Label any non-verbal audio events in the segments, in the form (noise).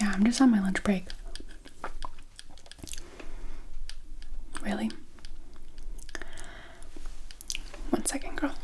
Yeah, I'm just on my lunch break. Really? One second, girl.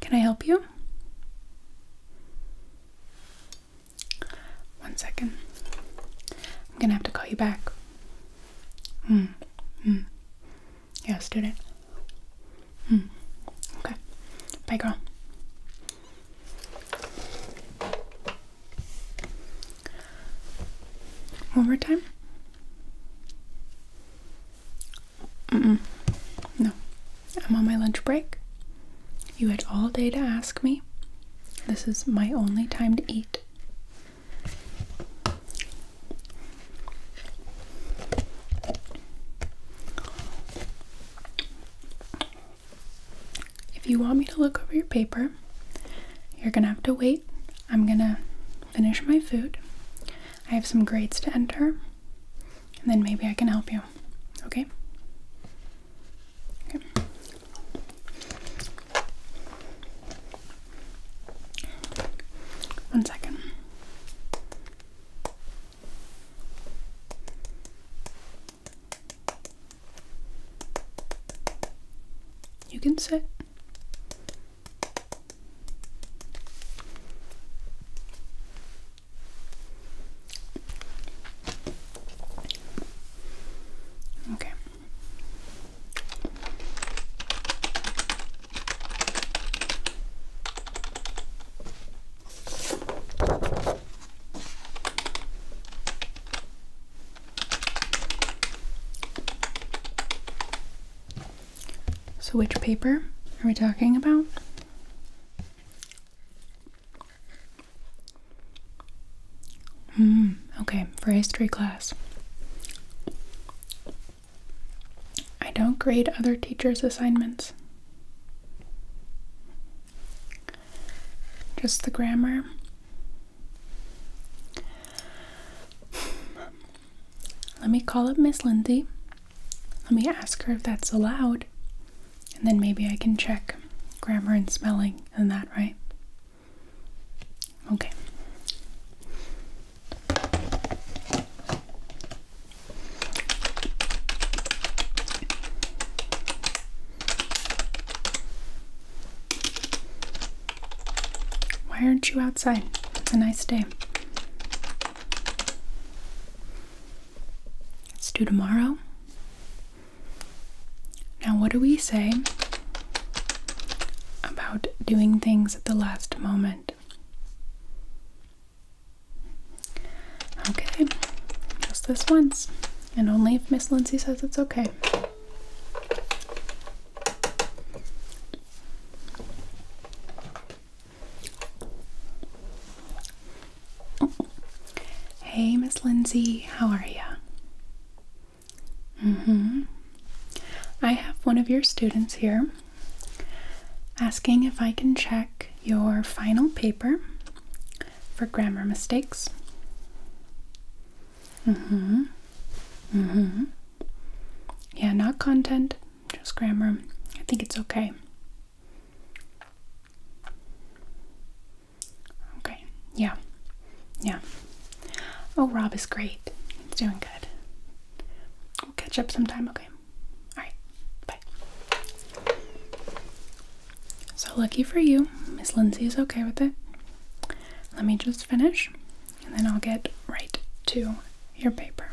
Can I help you? One second. I'm gonna have to call you back. Mm. Mm. Yeah, student. Hmm. Okay. Bye, girl. One more time. Mm-mm. No. I'm on my lunch break. You had all day to ask me. This is my only time to eat. If you want me to look over your paper, you're gonna have to wait. I'm gonna finish my food. I have some grades to enter, and then maybe I can help you. Okay? One second. You can sit. Okay. So which paper are we talking about? Hmm, okay, for history class. I don't grade other teachers' assignments. Just the grammar. Let me call up Miss Lindsay. Let me ask her if that's allowed. And then maybe I can check grammar and spelling and that, right? Okay. Why aren't you outside? It's a nice day. Let's do tomorrow. Now, what do we say about doing things at the last moment? Okay, just this once, and only if Miss Lindsay says it's okay. Hey, Miss Lindsay, how are you? Mm hmm. I have one of your students here asking if I can check your final paper for grammar mistakes. Mm-hmm. Mm-hmm. Yeah, not content, just grammar. I think it's okay. Okay, yeah. Yeah. Oh, Rob is great. He's doing good. We'll catch up sometime, okay? Alright, bye. So, lucky for you, Miss Lindsay is okay with it. Let me just finish and then I'll get right to your paper.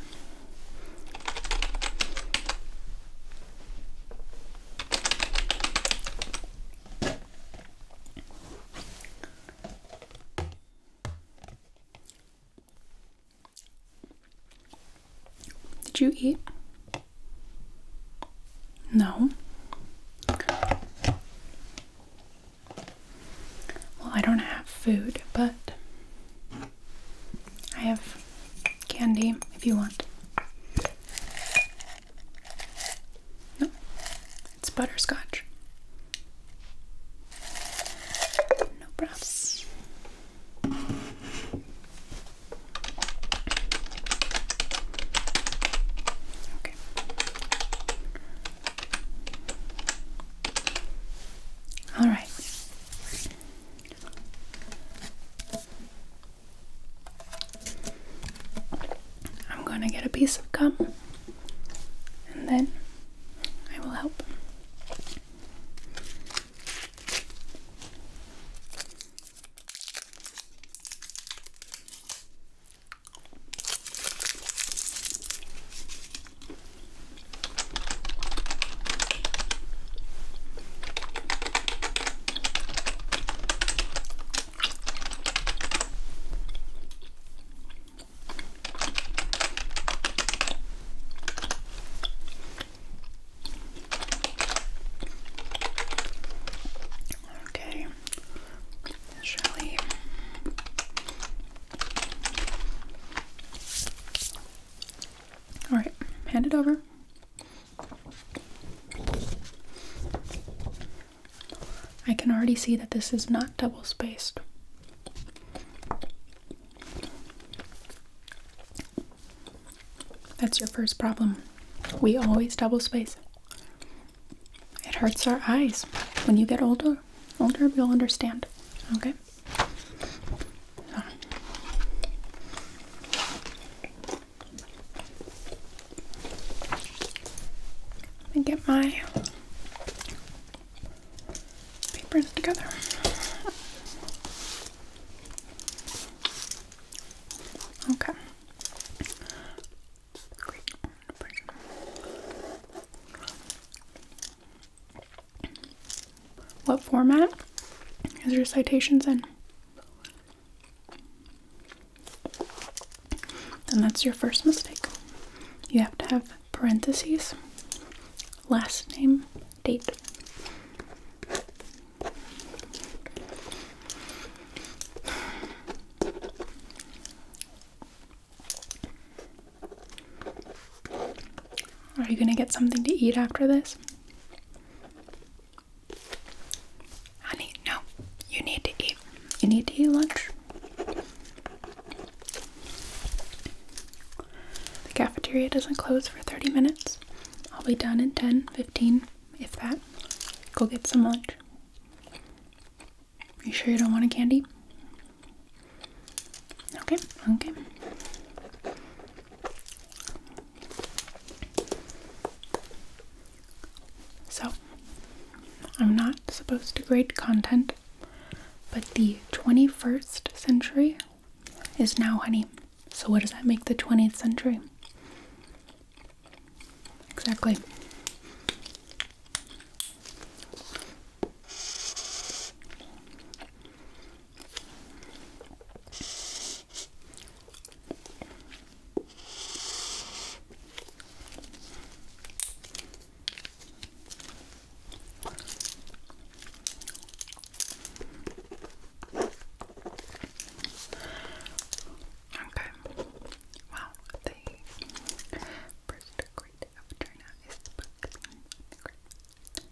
Did you eat? No. Well, I don't have food, but I have candy if you want. No, it's butterscotch. No props. Okay. All right. I'm going to get a piece of gum and then I will help. Okay, shall All right, hand it over. I can already see that this is not double spaced. That's your first problem. We always double space. It hurts our eyes. When you get older, older you'll understand. Okay? Let me get my papers together. Okay. What format is your citations in? then that's your first mistake. You have to have parentheses, last name, date. Are you going to get something to eat after this? Honey, no. You need to eat. You need to eat lunch. The cafeteria doesn't close for 30 minutes. I'll be done in 10, 15, if that. Go get some lunch. You sure you don't want a candy? Okay, okay. So, I'm not supposed to grade content, but the 21st century is now honey. So, what does that make the 20th century? Exactly. Okay. Wow. The first grade of China is the book. And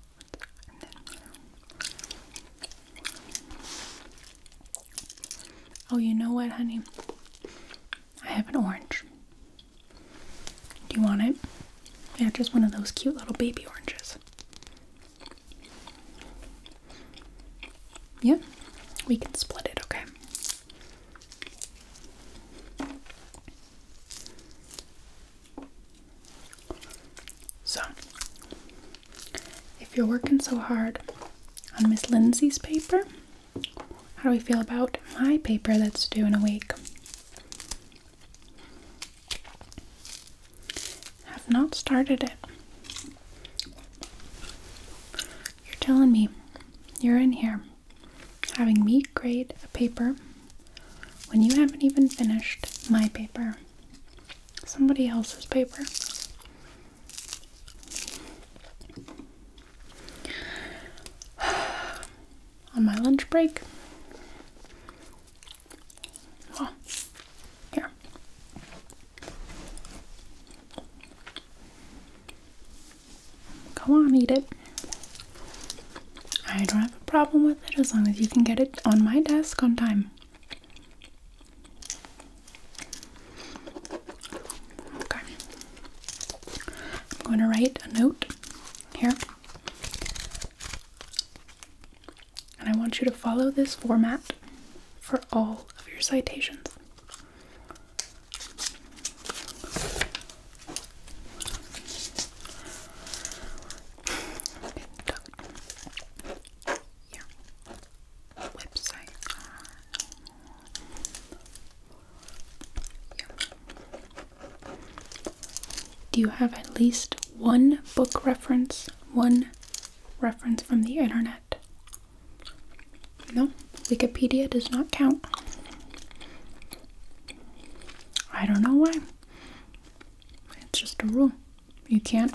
Oh, you know what, honey? I have an orange. Do you want it? Yeah, just one of those cute little baby oranges. Yeah, we can split it, okay? So, if you're working so hard on Miss Lindsay's paper, how do we feel about my paper that's due in a week? Have not started it. You're telling me you're in here having me grade a paper when you haven't even finished my paper, somebody else's paper. (sighs) on my lunch break. here. Go on, eat it. I don't have a problem with it as long as you can get it on my desk on time. Okay. I'm going to write a note here. And I want you to follow this format for all of your citations. Website. Do you have at least one book reference? One reference from the internet? No, Wikipedia does not count. I don't know why. It's just a rule. You can't.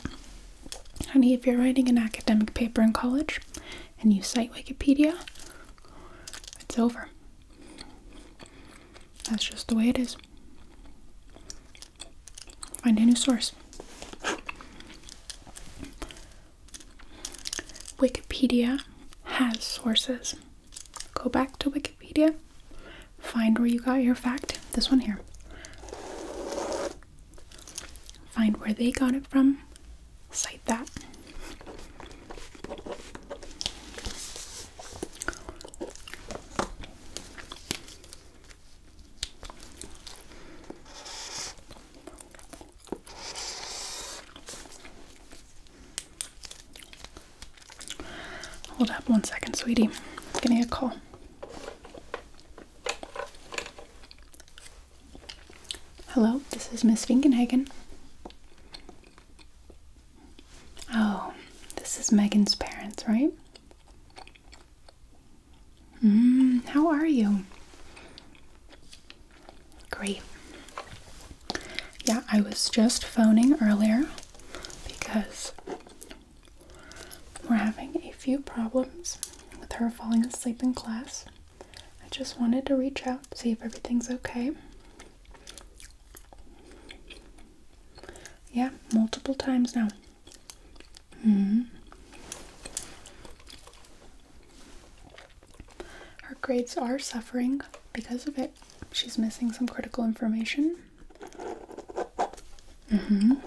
Honey, if you're writing an academic paper in college, and you cite Wikipedia, it's over. That's just the way it is. Find a new source. Wikipedia has sources. Go back to Wikipedia, find where you got your fact. This one here. Find where they got it from, cite that. Hold up one second, sweetie. It's getting a call. Hello, this is Miss Finkenhagen. Oh, this is Megan's parents, right? Mm, how are you? Great. Yeah, I was just phoning earlier because we're having a few problems with her falling asleep in class. I just wanted to reach out, see if everything's okay. Yeah, multiple times now. Mm-hmm. Her grades are suffering because of it. She's missing some critical information. Mm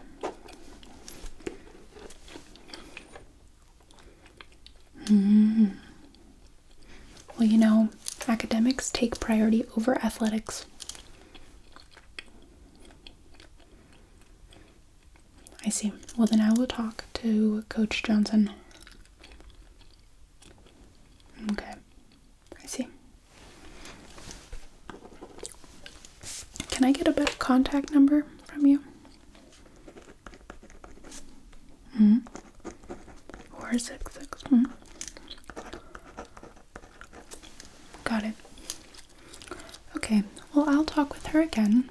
hmm Well, you know, academics take priority over athletics. I see. Well, then I will talk to Coach Johnson. Okay. I see. Can I get a better contact number from you? Mm hmm. Four six six. Mm -hmm. Got it. Okay. Well, I'll talk with her again.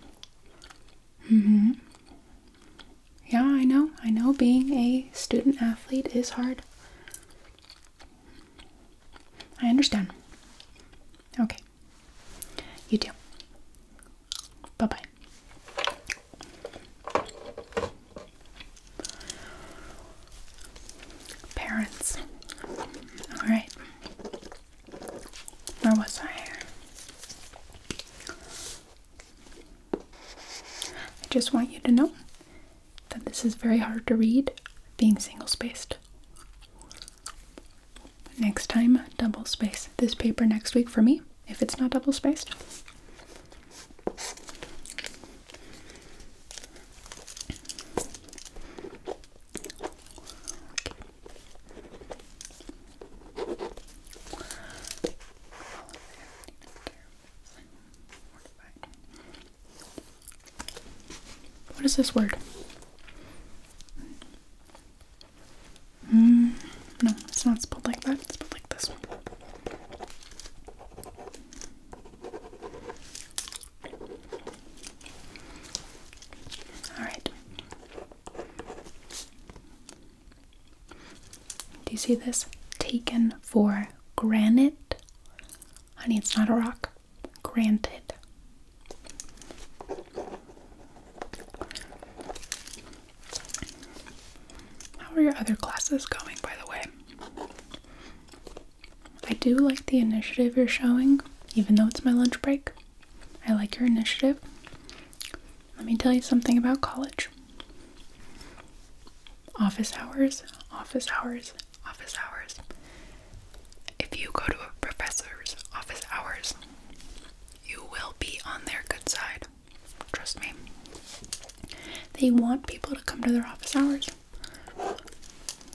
Mm hmm. Yeah, I know. I know being a student athlete is hard. I understand. Okay. You too. Bye bye. Parents. Alright. Where was I? I just want you to know that this is very hard to read being single spaced. Next time, double space this paper next week for me, if it's not double spaced. What is this word? Hmm, no, it's not spelled like that. It's spelled like this. All right. Do you see this? Taken for granite. Honey, it's not a rock granted. How are your other classes going, by the way? I do like the initiative you're showing, even though it's my lunch break. I like your initiative. Let me tell you something about college office hours, office hours, office hours if you go to a professor's office hours, you will be on their good side. Trust me. They want people to come to their office hours.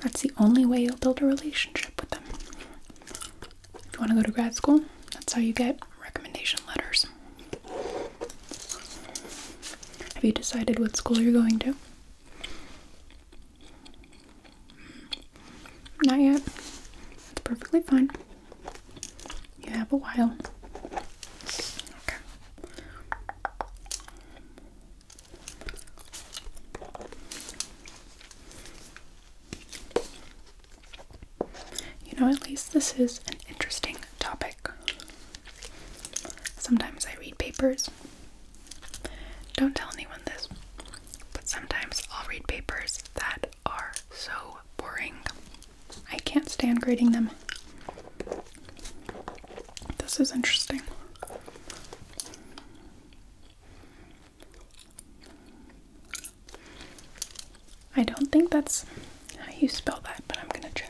That's the only way you'll build a relationship with them. If you want to go to grad school, that's how you get recommendation letters. Have you decided what school you're going to? Not yet. That's perfectly fine. You have a while. Okay. You know, at least this is an interesting topic. Sometimes I read papers don't tell anyone this, but sometimes I'll read papers that are so boring. I can't stand grading them. This is interesting. I don't think that's how you spell that, but I'm gonna check.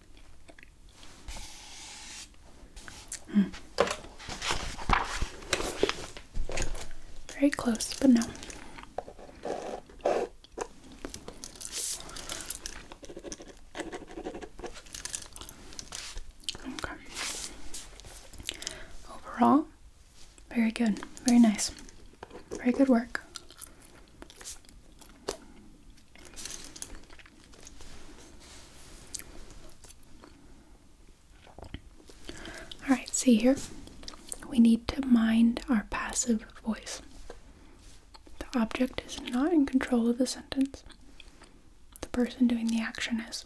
Very close, but no. Okay. Overall, very good, very nice, very good work. Alright, see here? We need to mind our passive voice. The object is not in control of the sentence. The person doing the action is,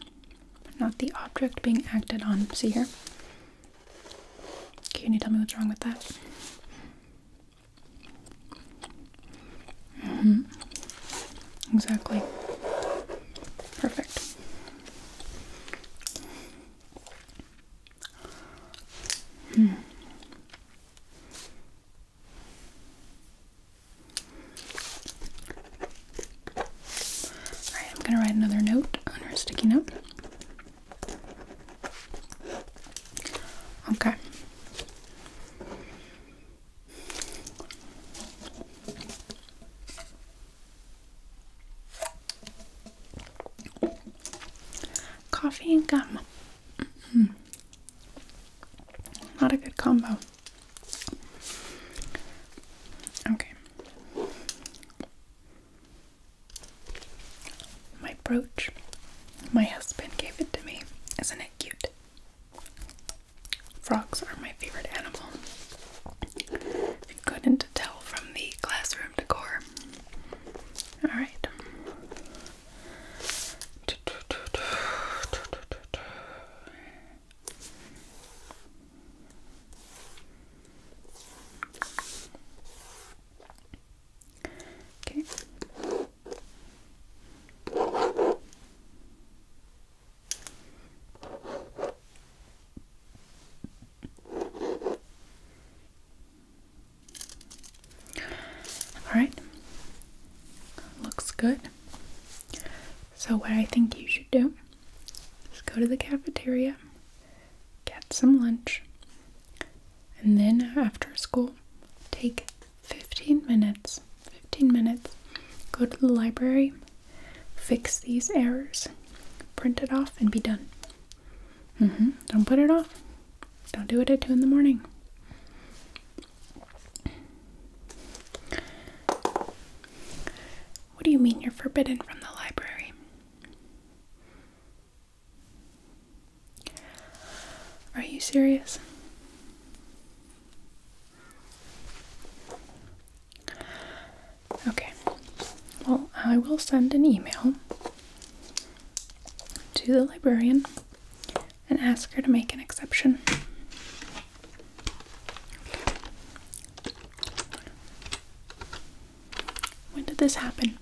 not the object being acted on. See here? Can you tell me what's wrong with that? Mm-hmm. Exactly. Perfect. Hmm. Alright, I'm gonna write another note on her sticky note. Okay. Coffee and gum. Mm-hmm. Not a good combo. Okay. My brooch. My husband gave it to me. Isn't it cute? Frogs are my favorite animal. If you couldn't tell from the classroom decor. Alright. Okay. All right. Looks good. So, what I think you should do is go to the cafeteria, get some lunch, and then after school, take 15 minutes, 15 minutes, go to the library, fix these errors, print it off, and be done. Mm-hmm. Don't put it off. Don't do it at 2 in the morning. What do you mean you're forbidden from the library? Are you serious? Okay. Well, I will send an email to the librarian and ask her to make an exception. When did this happen?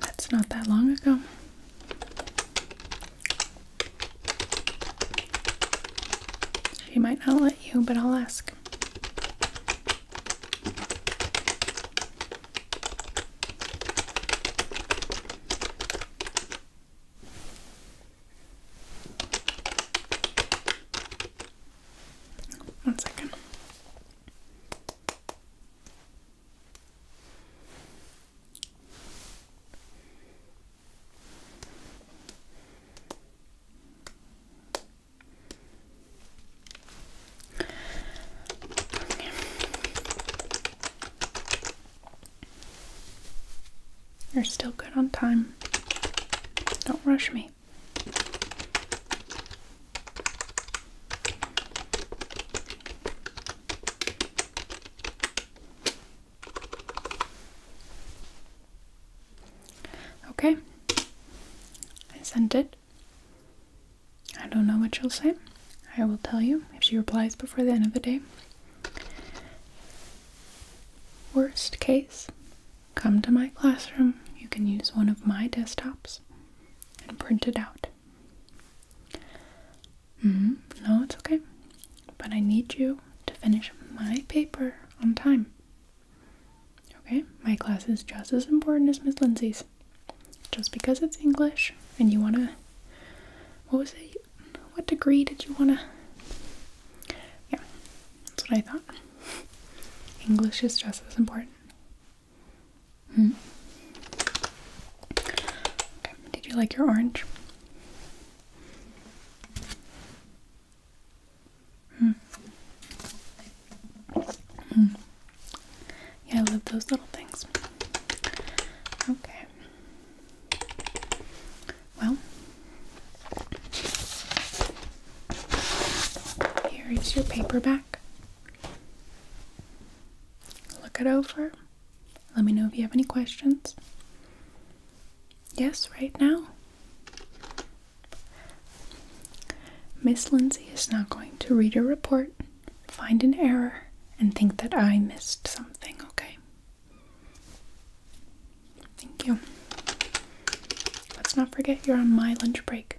That's not that long ago. She might not let you, but I'll ask. One second. You're still good on time. Don't rush me. Okay. Okay. I sent it. I don't know what she'll say. I will tell you if she replies before the end of the day. Worst case, come to my classroom. You can use one of my desktops and print it out. Mm-hmm. No, it's okay. But I need you to finish my paper on time. Okay? My class is just as important as Miss Lindsay's. Just because it's English and you want to. What was it? What degree did you want to. Yeah, that's what I thought. (laughs) English is just as important. Hmm. Did you like your orange? Hmm. Hmm. Yeah, I love those little things. Okay. Well, here is your paperback. Look it over. Let me know if you have any questions. Yes, right now. Miss Lindsay is now going to read a report, find an error, and think that I missed something, okay? Thank you. Let's not forget you're on my lunch break.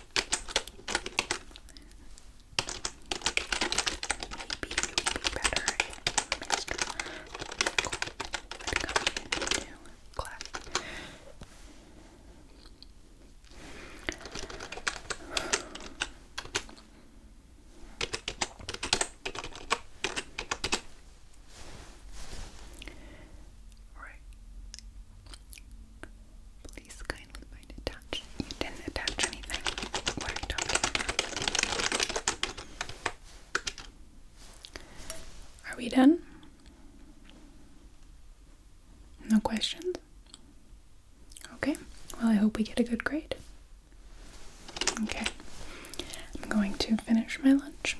Maybe you would be better if Mr. Michael would come into class. Right. Please kindly attach. You didn't attach anything. What are you talking about? Are we done? No questions? Okay. Well, I hope we get a good grade. Okay. I'm going to finish my lunch.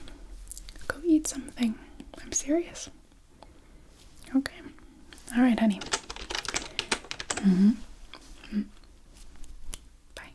Go eat something. I'm serious. Okay. All right, honey. Mm-hmm. Bye.